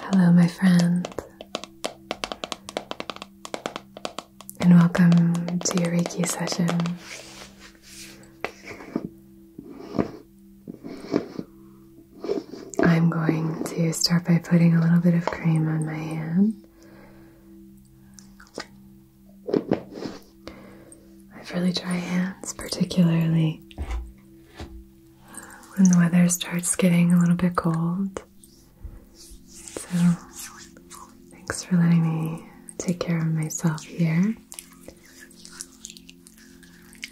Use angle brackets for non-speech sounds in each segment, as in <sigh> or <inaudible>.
Hello, my friend, and welcome to your Reiki session. I'm going to start by putting a little bit of cream on my hand. I have really dry hands, particularly when the weather starts getting a little bit cold. So, thanks for letting me take care of myself here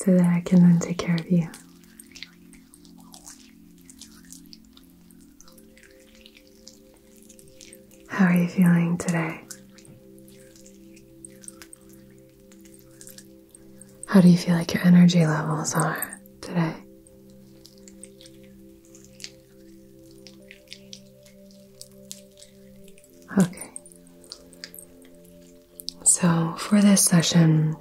so that I can then take care of you. How are you feeling today? How do you feel like your energy levels are today? Okay. So, for this session,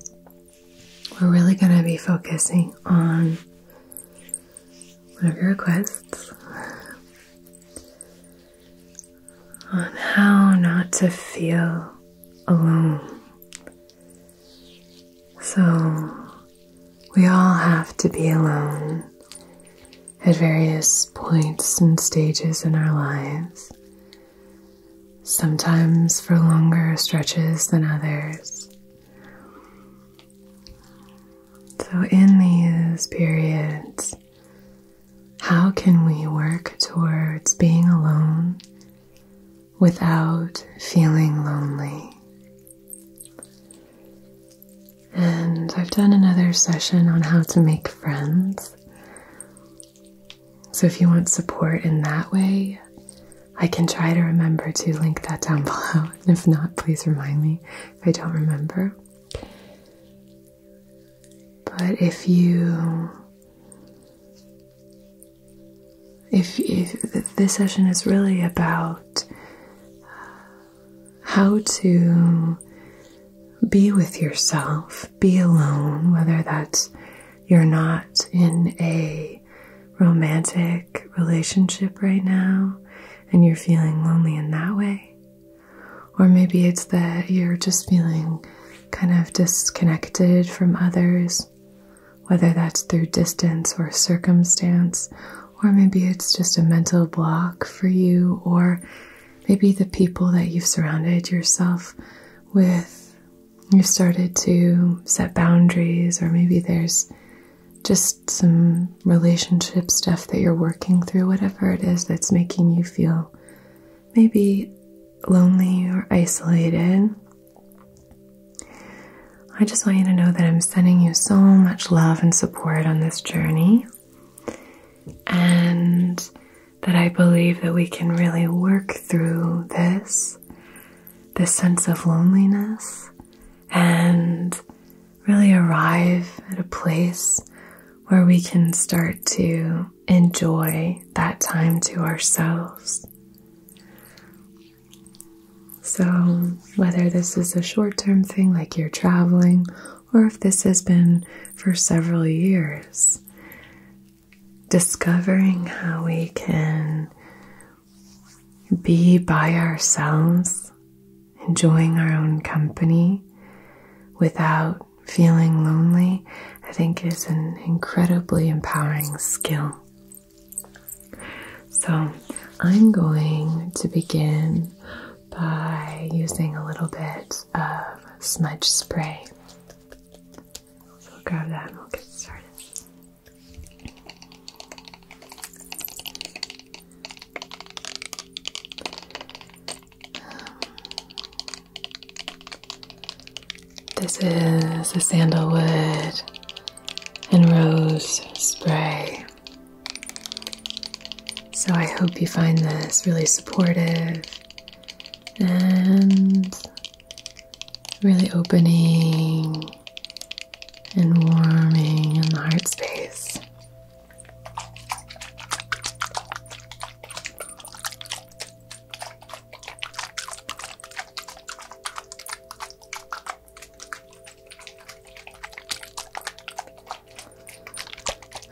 we're really going to be focusing on one of your requests on how not to feel alone. So, we all have to be alone at various points and stages in our lives, sometimes for longer stretches than others. So, in these periods, how can we work towards being alone without feeling lonely? And I've done another session on how to make friends. So if you want support in that way, I can try to remember to link that down <laughs> below. And if not, please remind me if I don't remember. But if you if, if this session is really about how to be with yourself, be alone, whether that's you're not in a romantic relationship right now and you're feeling lonely in that way, or maybe it's that you're just feeling kind of disconnected from others, whether that's through distance or circumstance, or maybe it's just a mental block for you, or maybe the people that you've surrounded yourself with, you've started to set boundaries, or maybe there's just some relationship stuff that you're working through, whatever it is that's making you feel maybe lonely or isolated, I just want you to know that I'm sending you so much love and support on this journey, and that I believe that we can really work through this, this sense of loneliness, and really arrive at a place where we can start to enjoy that time to ourselves. So, whether this is a short term thing like you're traveling, or if this has been for several years, discovering how we can be by ourselves, enjoying our own company without feeling lonely, I think, is an incredibly empowering skill. So, I'm going to begin by using a little bit of smudge spray. So, grab that and we'll get started. This is a sandalwood and rose spray. So I hope you find this really supportive and really opening and warming in the heart space.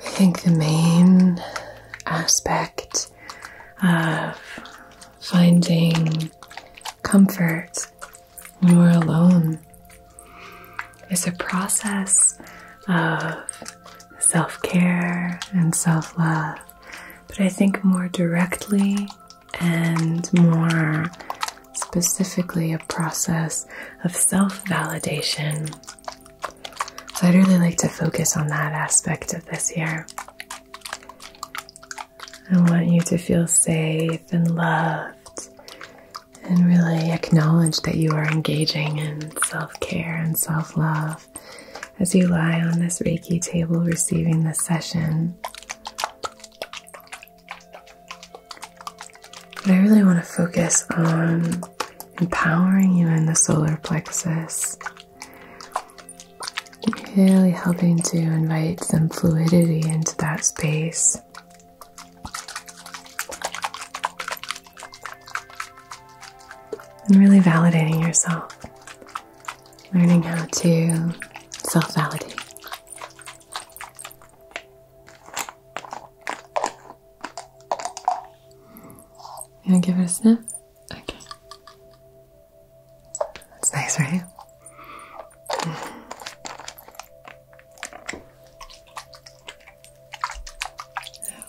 I think the main aspect of finding comfort when we're alone is a process of self care and self love, but I think more directly and more specifically a process of self validation. So I'd really like to focus on that aspect of this here. I want you to feel safe and loved and really acknowledge that you are engaging in self care and self love as you lie on this Reiki table receiving this session. But I really want to focus on empowering you in the solar plexus, really helping to invite some fluidity into that space and really validating yourself, learning how to self validate. You want to give it a sniff? Okay. That's nice, right? Mm-hmm.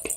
Okay.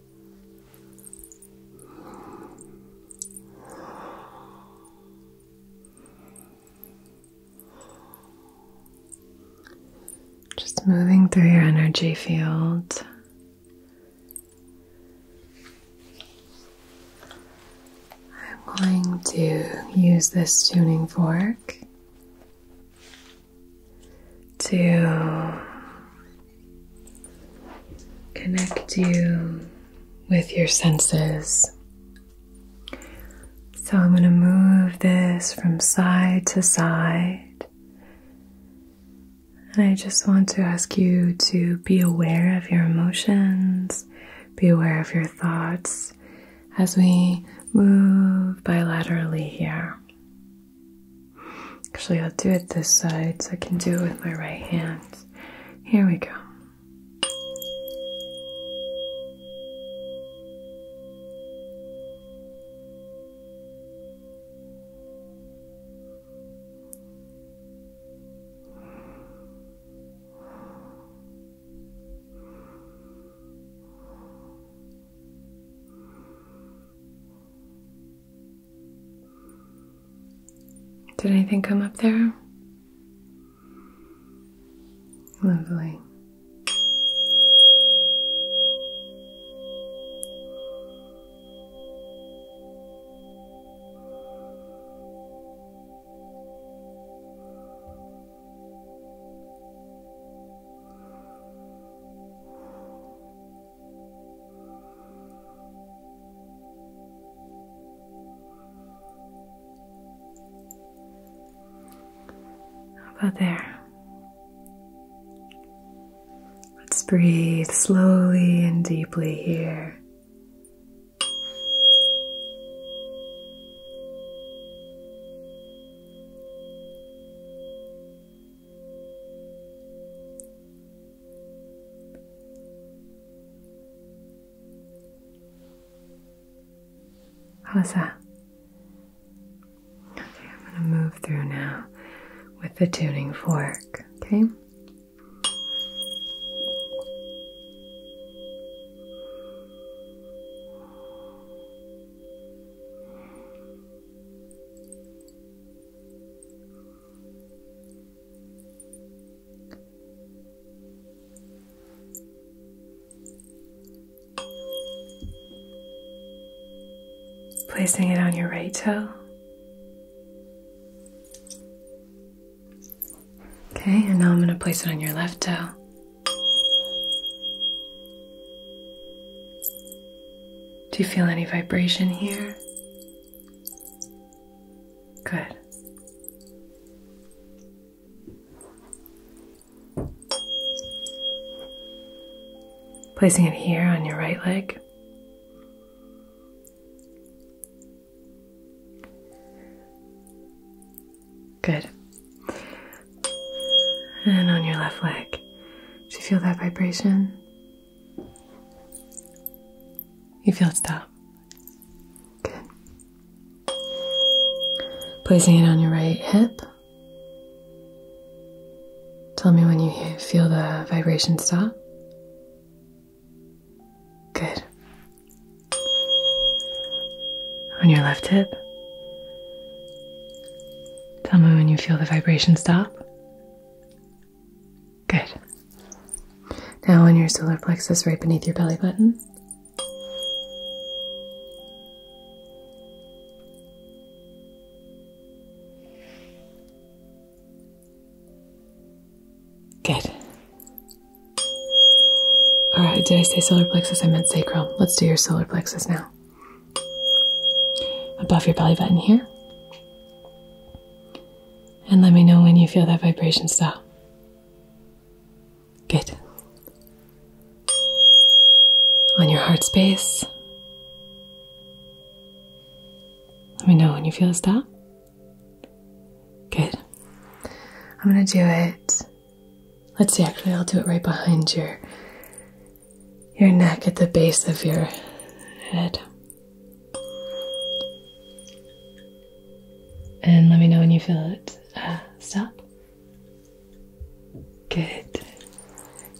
Just moving through your energy field. I'm going to use this tuning fork to connect you with your senses. So I'm going to move this from side to side. And I just want to ask you to be aware of your emotions, be aware of your thoughts as we move bilaterally here. Actually, I'll do it this side so I can do it with my right hand. Here we go. Did anything come up there? Lovely. How about there? Let's breathe slowly and deeply here. How that? Okay, I'm going to move through now with the tuning fork, okay? Placing it on your right toe. Okay, and now I'm going to place it on your left toe. Do you feel any vibration here? Good. Placing it here on your right leg. Good. And on your left leg. Do you feel that vibration? You feel it stop. Good. Placing it on your right hip. Tell me when you feel the vibration stop. Good. On your left hip. Tell me when you feel the vibration stop. Good. Now on your solar plexus right beneath your belly button. Good. Alright, did I say solar plexus? I meant sacrum. Let's do your solar plexus now. Above your belly button here and let me know when you feel that vibration stop. Good. On your heart space. Let me know when you feel a stop. Good. I'm going to do it. Let's see, actually, I'll do it right behind your your neck at the base of your head. And let me know when you feel it uh, stop. Good.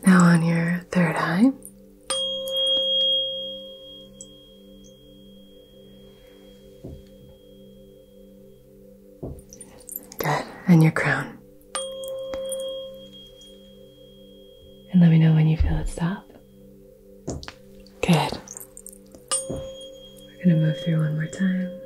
Now on your third eye. Good. And your crown. And let me know when you feel it stop. Good. We're going to move through one more time.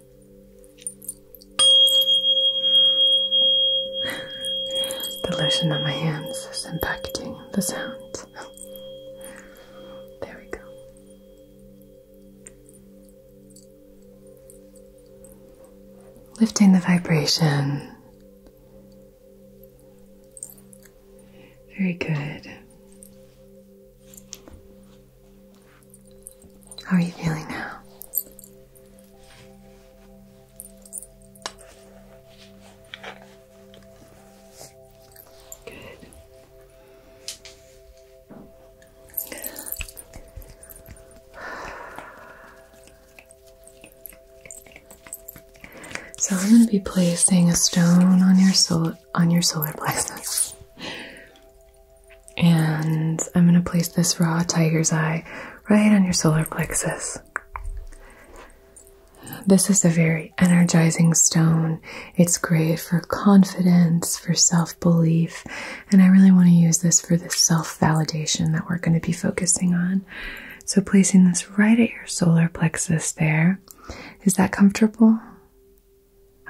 <sighs> the lotion of my hands is impacting the sound. there we go. Lifting the vibration. Very good. How are you feeling now? Good. So I'm going to be placing a stone on your solar on your solar plexus. And I'm going to place this raw tiger's eye right on your solar plexus. This is a very energizing stone. It's great for confidence, for self belief, and I really want to use this for the self validation that we're going to be focusing on. So, placing this right at your solar plexus there. Is that comfortable?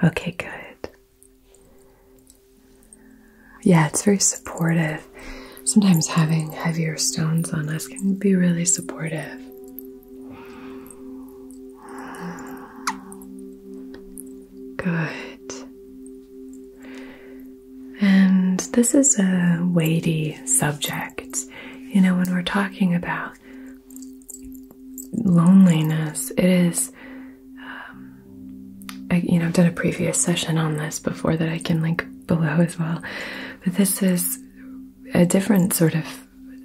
Okay, good. Yeah, it's very supportive. Sometimes having heavier stones on us can be really supportive. Good. And this is a weighty subject. You know, when we're talking about loneliness, it is um, I, you know, I've done a previous session on this before that I can link below as well. But this is a different sort of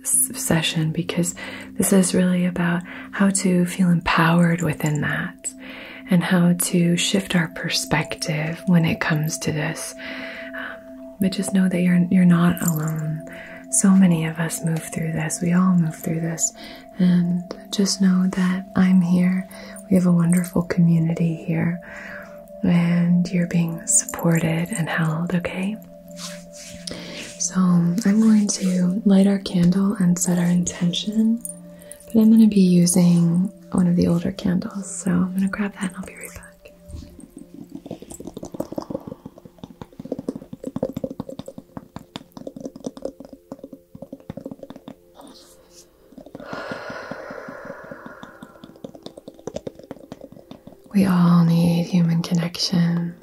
session because this is really about how to feel empowered within that and how to shift our perspective when it comes to this. Um, but just know that you're you're not alone. So many of us move through this. We all move through this. And just know that I'm here. We have a wonderful community here, and you're being supported and held, okay? So, I'm going to light our candle and set our intention, but I'm going to be using one of the older candles, so I'm going to grab that and I'll be right back. We all need human connection.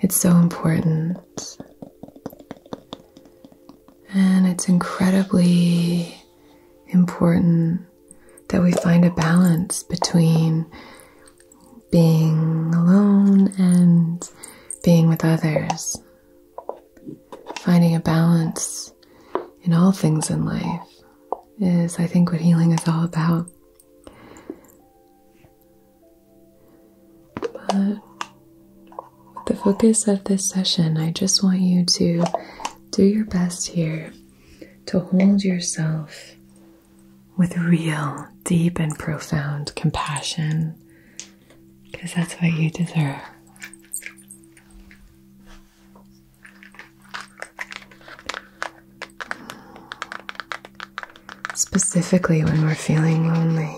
It's so important. And it's incredibly important that we find a balance between being alone and being with others finding a balance in all things in life is, I think, what healing is all about. But with the focus of this session, I just want you to do your best here to hold yourself with real, deep, and profound compassion because that's what you deserve. Specifically, when we're feeling lonely.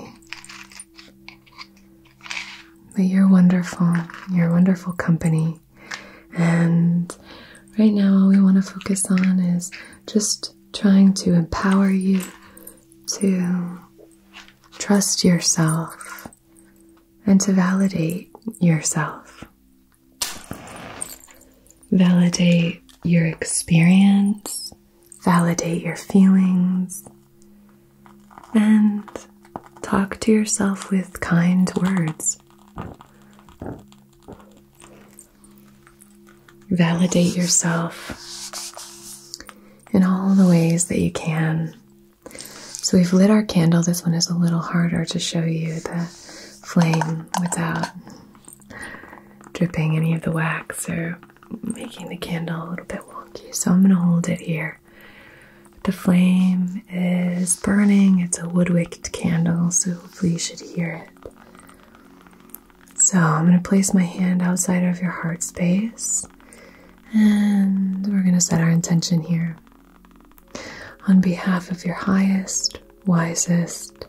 But you're wonderful. You're wonderful company. And right now, all we want to focus on is just trying to empower you to trust yourself and to validate yourself. Validate your experience, validate your feelings, and talk to yourself with kind words. Validate yourself in all the ways that you can. So we've lit our candle. This one is a little harder to show you the flame without dripping any of the wax or making the candle a little bit wonky. So I'm going to hold it here. The flame is burning. It's a wood wicked candle, so hopefully you should hear it. So I'm going to place my hand outside of your heart space. And we're going to set our intention here. On behalf of your highest, wisest,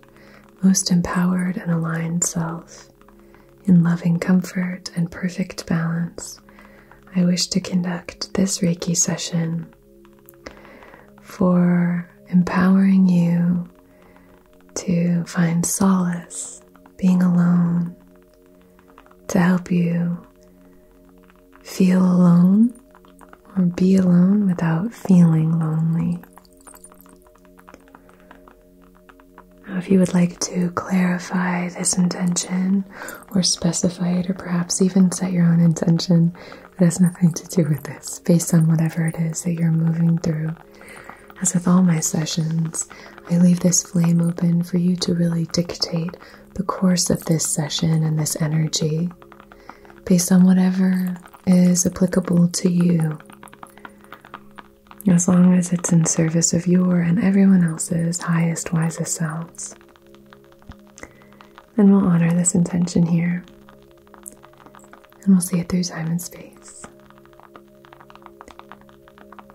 most empowered, and aligned self, in loving comfort and perfect balance, I wish to conduct this Reiki session for empowering you to find solace, being alone, to help you feel alone or be alone without feeling lonely. Now, if you would like to clarify this intention or specify it, or perhaps even set your own intention that has nothing to do with this, based on whatever it is that you're moving through, as with all my sessions, I leave this flame open for you to really dictate the course of this session and this energy based on whatever is applicable to you. As long as it's in service of your and everyone else's highest, wisest selves. And we'll honor this intention here. And we'll see it through time and space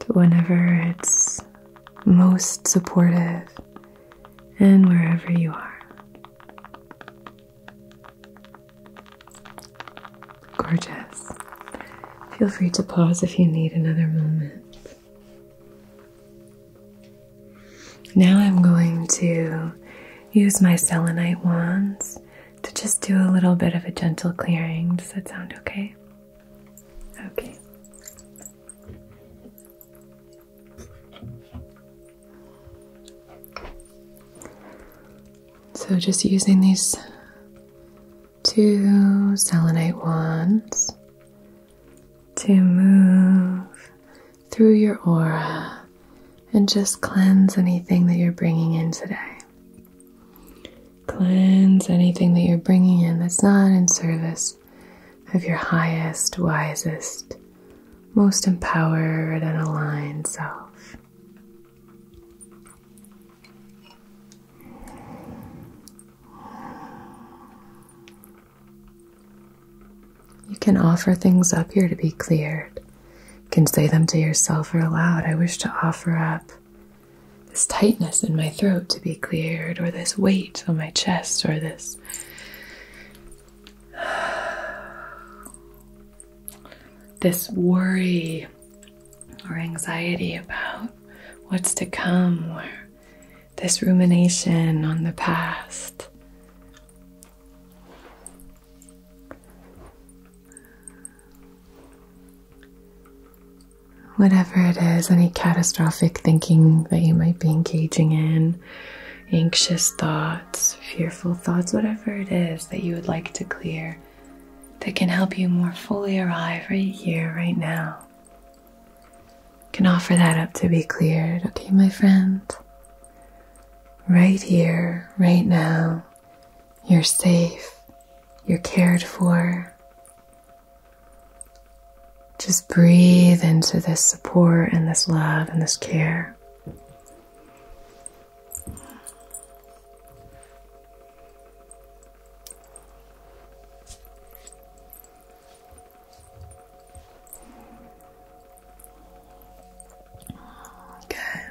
whenever it's most supportive and wherever you are. Gorgeous. Feel free to pause if you need another moment. Now I'm going to use my selenite wands to just do a little bit of a gentle clearing. Does that sound okay? Okay. So, just using these two selenite wands to move through your aura and just cleanse anything that you're bringing in today. Cleanse anything that you're bringing in that's not in service of your highest, wisest, most empowered, and aligned self. You can offer things up here to be cleared. You can say them to yourself or aloud. I wish to offer up this tightness in my throat to be cleared, or this weight on my chest, or this <sighs> this worry or anxiety about what's to come, or this rumination on the past whatever it is, any catastrophic thinking that you might be engaging in, anxious thoughts, fearful thoughts, whatever it is that you would like to clear that can help you more fully arrive right here, right now. Can offer that up to be cleared, okay, my friend? Right here, right now, you're safe, you're cared for, just breathe into this support and this love and this care. Good.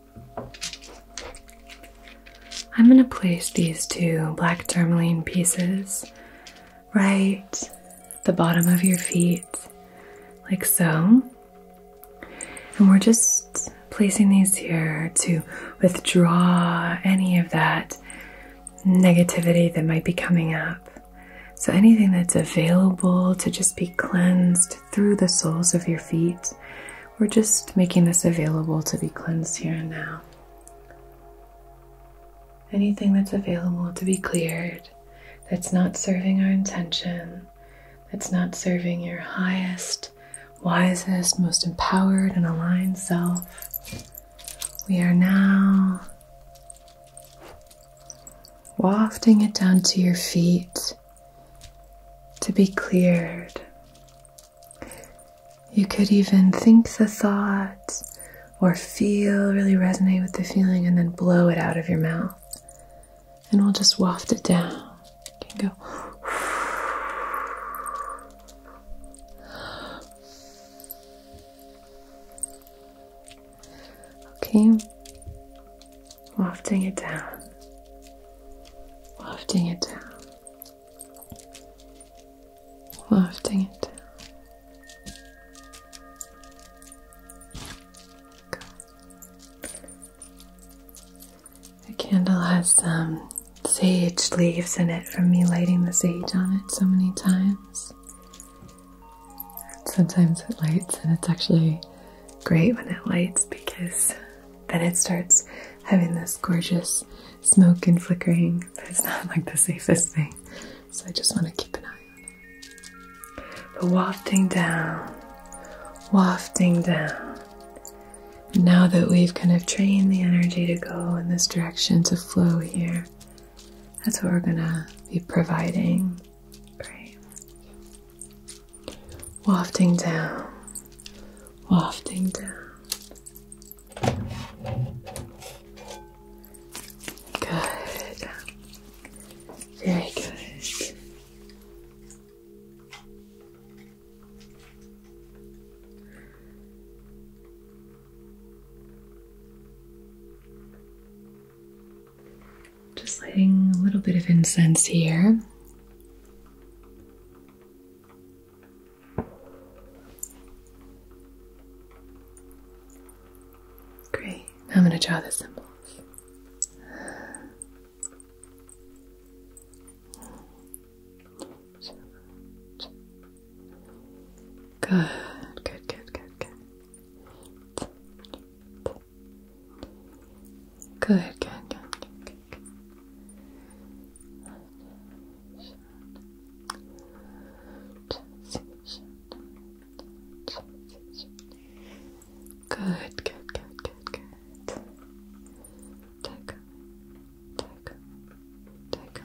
I'm going to place these two black tourmaline pieces right the bottom of your feet, like so. And we're just placing these here to withdraw any of that negativity that might be coming up. So, anything that's available to just be cleansed through the soles of your feet we're just making this available to be cleansed here and now. Anything that's available to be cleared, that's not serving our intention, that's not serving your highest, wisest, most empowered, and aligned self. We are now wafting it down to your feet to be cleared you could even think the thought or feel, really resonate with the feeling, and then blow it out of your mouth. And we'll just waft it down. can go. Okay. Wafting it down. Wafting it down. Wafting it The candle has some um, sage leaves in it from me lighting the sage on it so many times. Sometimes it lights, and it's actually great when it lights because then it starts having this gorgeous smoke and flickering. its not like the safest thing. So I just want to keep an eye on it. But wafting down, wafting down. Now that we've kind of trained the energy to go in this direction, to flow here, that's what we're going to be providing. Great. Wafting down, wafting down. Good. Very good. Just lighting a little bit of incense here. Great. I'm going to draw the symbols. Good, good, good, good, good. Good, good, good, good, Good, good, good, good, good. Take away, take away, take away. take, take.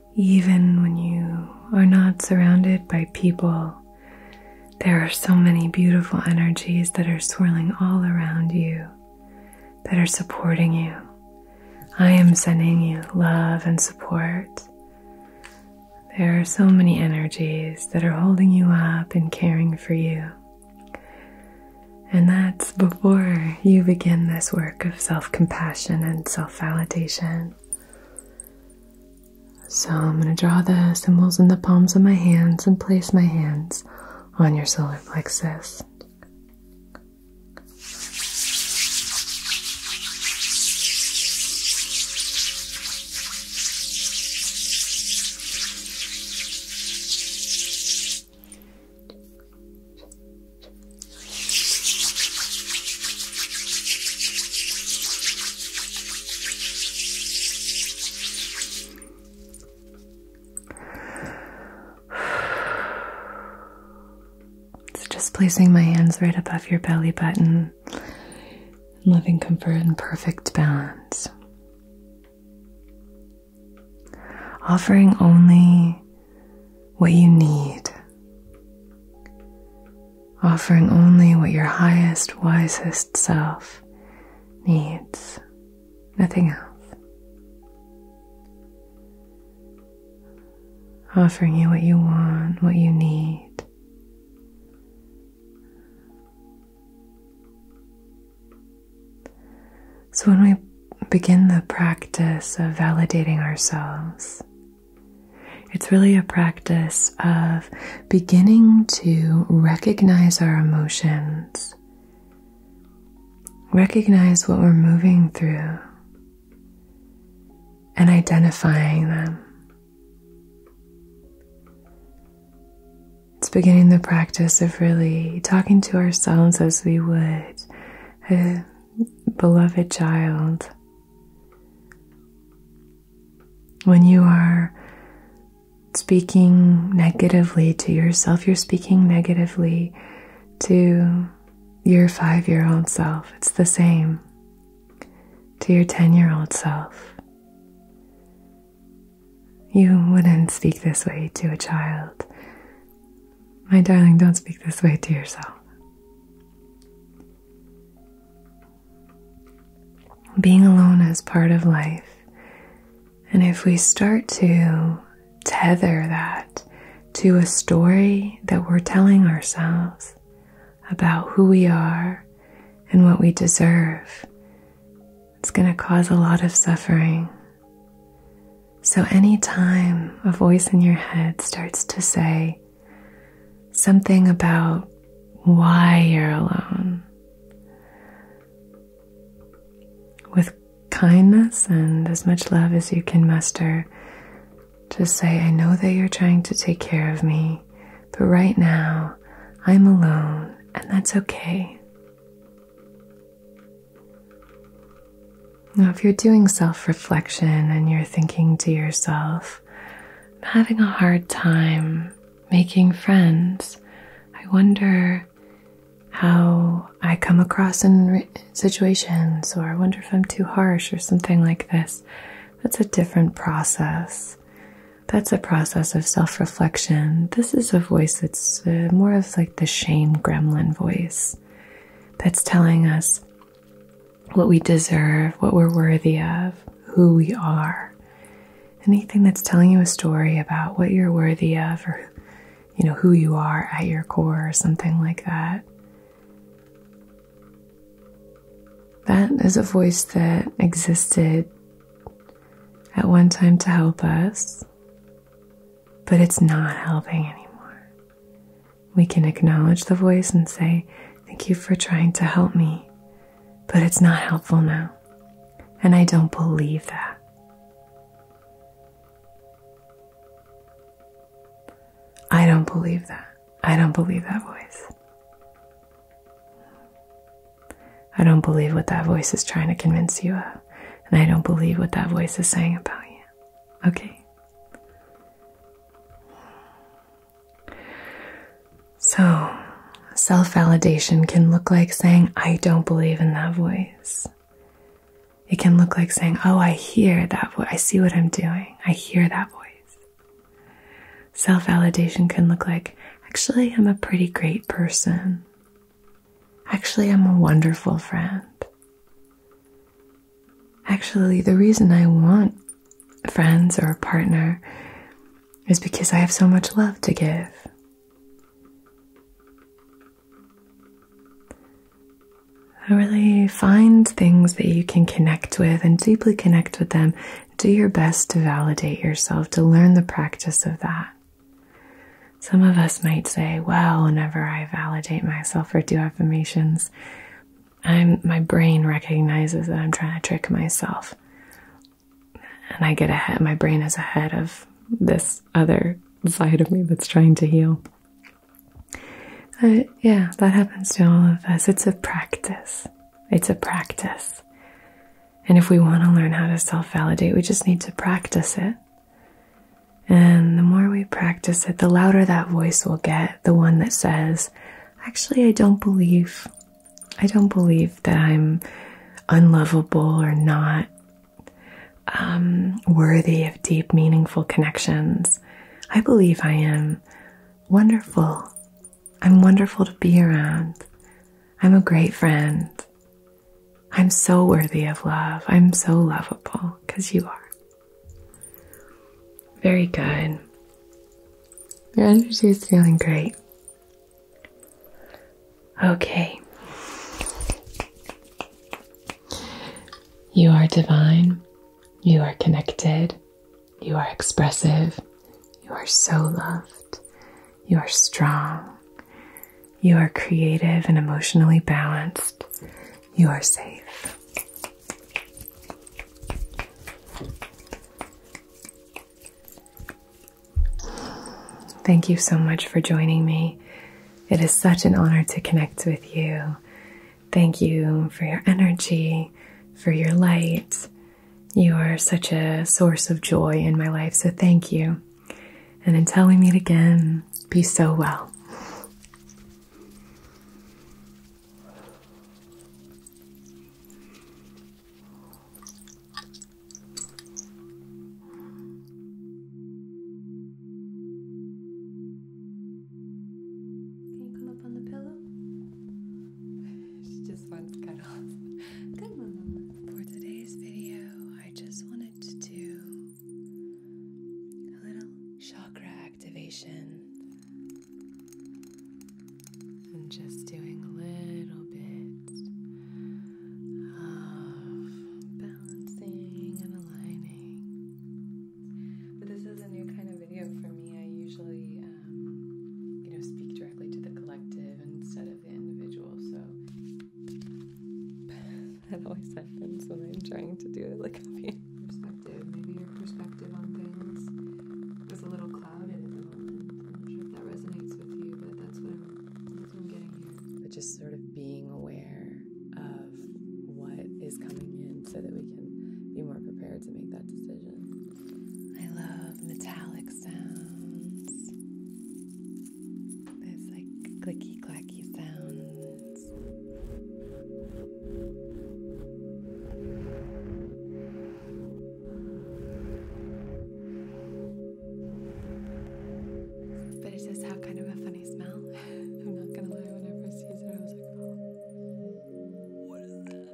Even when you are not surrounded by people, there are so many beautiful energies that are swirling all around you, that are supporting you. I am sending you love and support. There are so many energies that are holding you up and caring for you. And that's before you begin this work of self compassion and self validation. So, I'm going to draw the symbols in the palms of my hands and place my hands on your solar plexus. It's just placing my hands right above your belly button, loving comfort and perfect balance. Offering only what you need, offering only what your highest, wisest self needs, nothing else. Offering you what you want, what you need. So, when we begin the practice of validating ourselves, it's really a practice of beginning to recognize our emotions, recognize what we're moving through, and identifying them. It's beginning the practice of really talking to ourselves as we would beloved child, when you are speaking negatively to yourself, you're speaking negatively to your five year old self. It's the same to your 10 year old self. You wouldn't speak this way to a child. My darling, don't speak this way to yourself. Being alone is part of life. And if we start to tether that to a story that we're telling ourselves about who we are and what we deserve, it's going to cause a lot of suffering. So, anytime a voice in your head starts to say something about why you're alone, with kindness and as much love as you can muster, just say, I know that you're trying to take care of me, but right now I'm alone, and that's okay. Now, if you're doing self reflection and you're thinking to yourself, I'm having a hard time making friends, I wonder how I come across in situations, or I wonder if I'm too harsh, or something like this. That's a different process. That's a process of self reflection. This is a voice that's uh, more of like the shame gremlin voice that's telling us, what we deserve, what we're worthy of, who we are. Anything that's telling you a story about what you're worthy of or you know who you are at your core or something like that. That is a voice that existed at one time to help us, but it's not helping anymore. We can acknowledge the voice and say, Thank you for trying to help me, but it's not helpful now. And I don't believe that. I don't believe that. I don't believe that voice. I don't believe what that voice is trying to convince you of. And I don't believe what that voice is saying about you. Okay? So, self validation can look like saying, I don't believe in that voice. It can look like saying, Oh, I hear that voice. I see what I'm doing. I hear that voice. Self validation can look like, Actually, I'm a pretty great person. Actually, I'm a wonderful friend. Actually, the reason I want friends or a partner is because I have so much love to give. I really find things that you can connect with and deeply connect with them. Do your best to validate yourself, to learn the practice of that. Some of us might say, well, whenever I validate myself or do affirmations, I'm my brain recognizes that I'm trying to trick myself. And I get ahead my brain is ahead of this other side of me that's trying to heal. yeah, that happens to all of us. It's a practice. It's a practice. And if we want to learn how to self validate, we just need to practice it. And the more we practice it, the louder that voice will get, the one that says, actually I don't believe I don't believe that I'm unlovable or not um, worthy of deep, meaningful connections. I believe I am wonderful. I'm wonderful to be around. I'm a great friend. I'm so worthy of love. I'm so lovable because you are. Very good. Your energy is feeling great. Okay. You are divine. You are connected. You are expressive. You are so loved. You are strong. You are creative and emotionally balanced. You are safe. Thank you so much for joining me. It is such an honor to connect with you. Thank you for your energy, for your light. You are such a source of joy in my life, so thank you. And until we meet again, be so well. Can you come up on the pillow? <laughs> she just wants cuddles. Good one, For today's video, I just wanted to do a little chakra activation. I'm just doing a little bit of balancing and aligning. But this is a new kind of video for me. I usually, um, you know, speak directly to the collective instead of the individual, so. <laughs> that always happens when I'm trying to do it like a Maybe your perspective on things is a little clouded at the moment. I'm not sure if that resonates with you, but that's what I'm, that's what I'm getting here. But just sort of being aware of what is coming in so that we can be more prepared to make that decision. I love metallic sounds. There's like clicky clacky sounds. But it does have kind of a funny smell. <laughs> I'm not gonna lie, when I first used it, I was like, oh, what is that?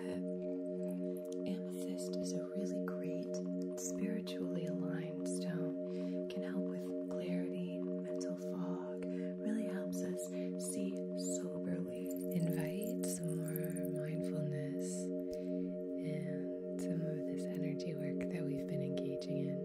but amethyst is a really great, spiritually aligned stone. Can help with clarity, mental fog, really helps us see soberly. Invite some more mindfulness and some of this energy work that we've been engaging in.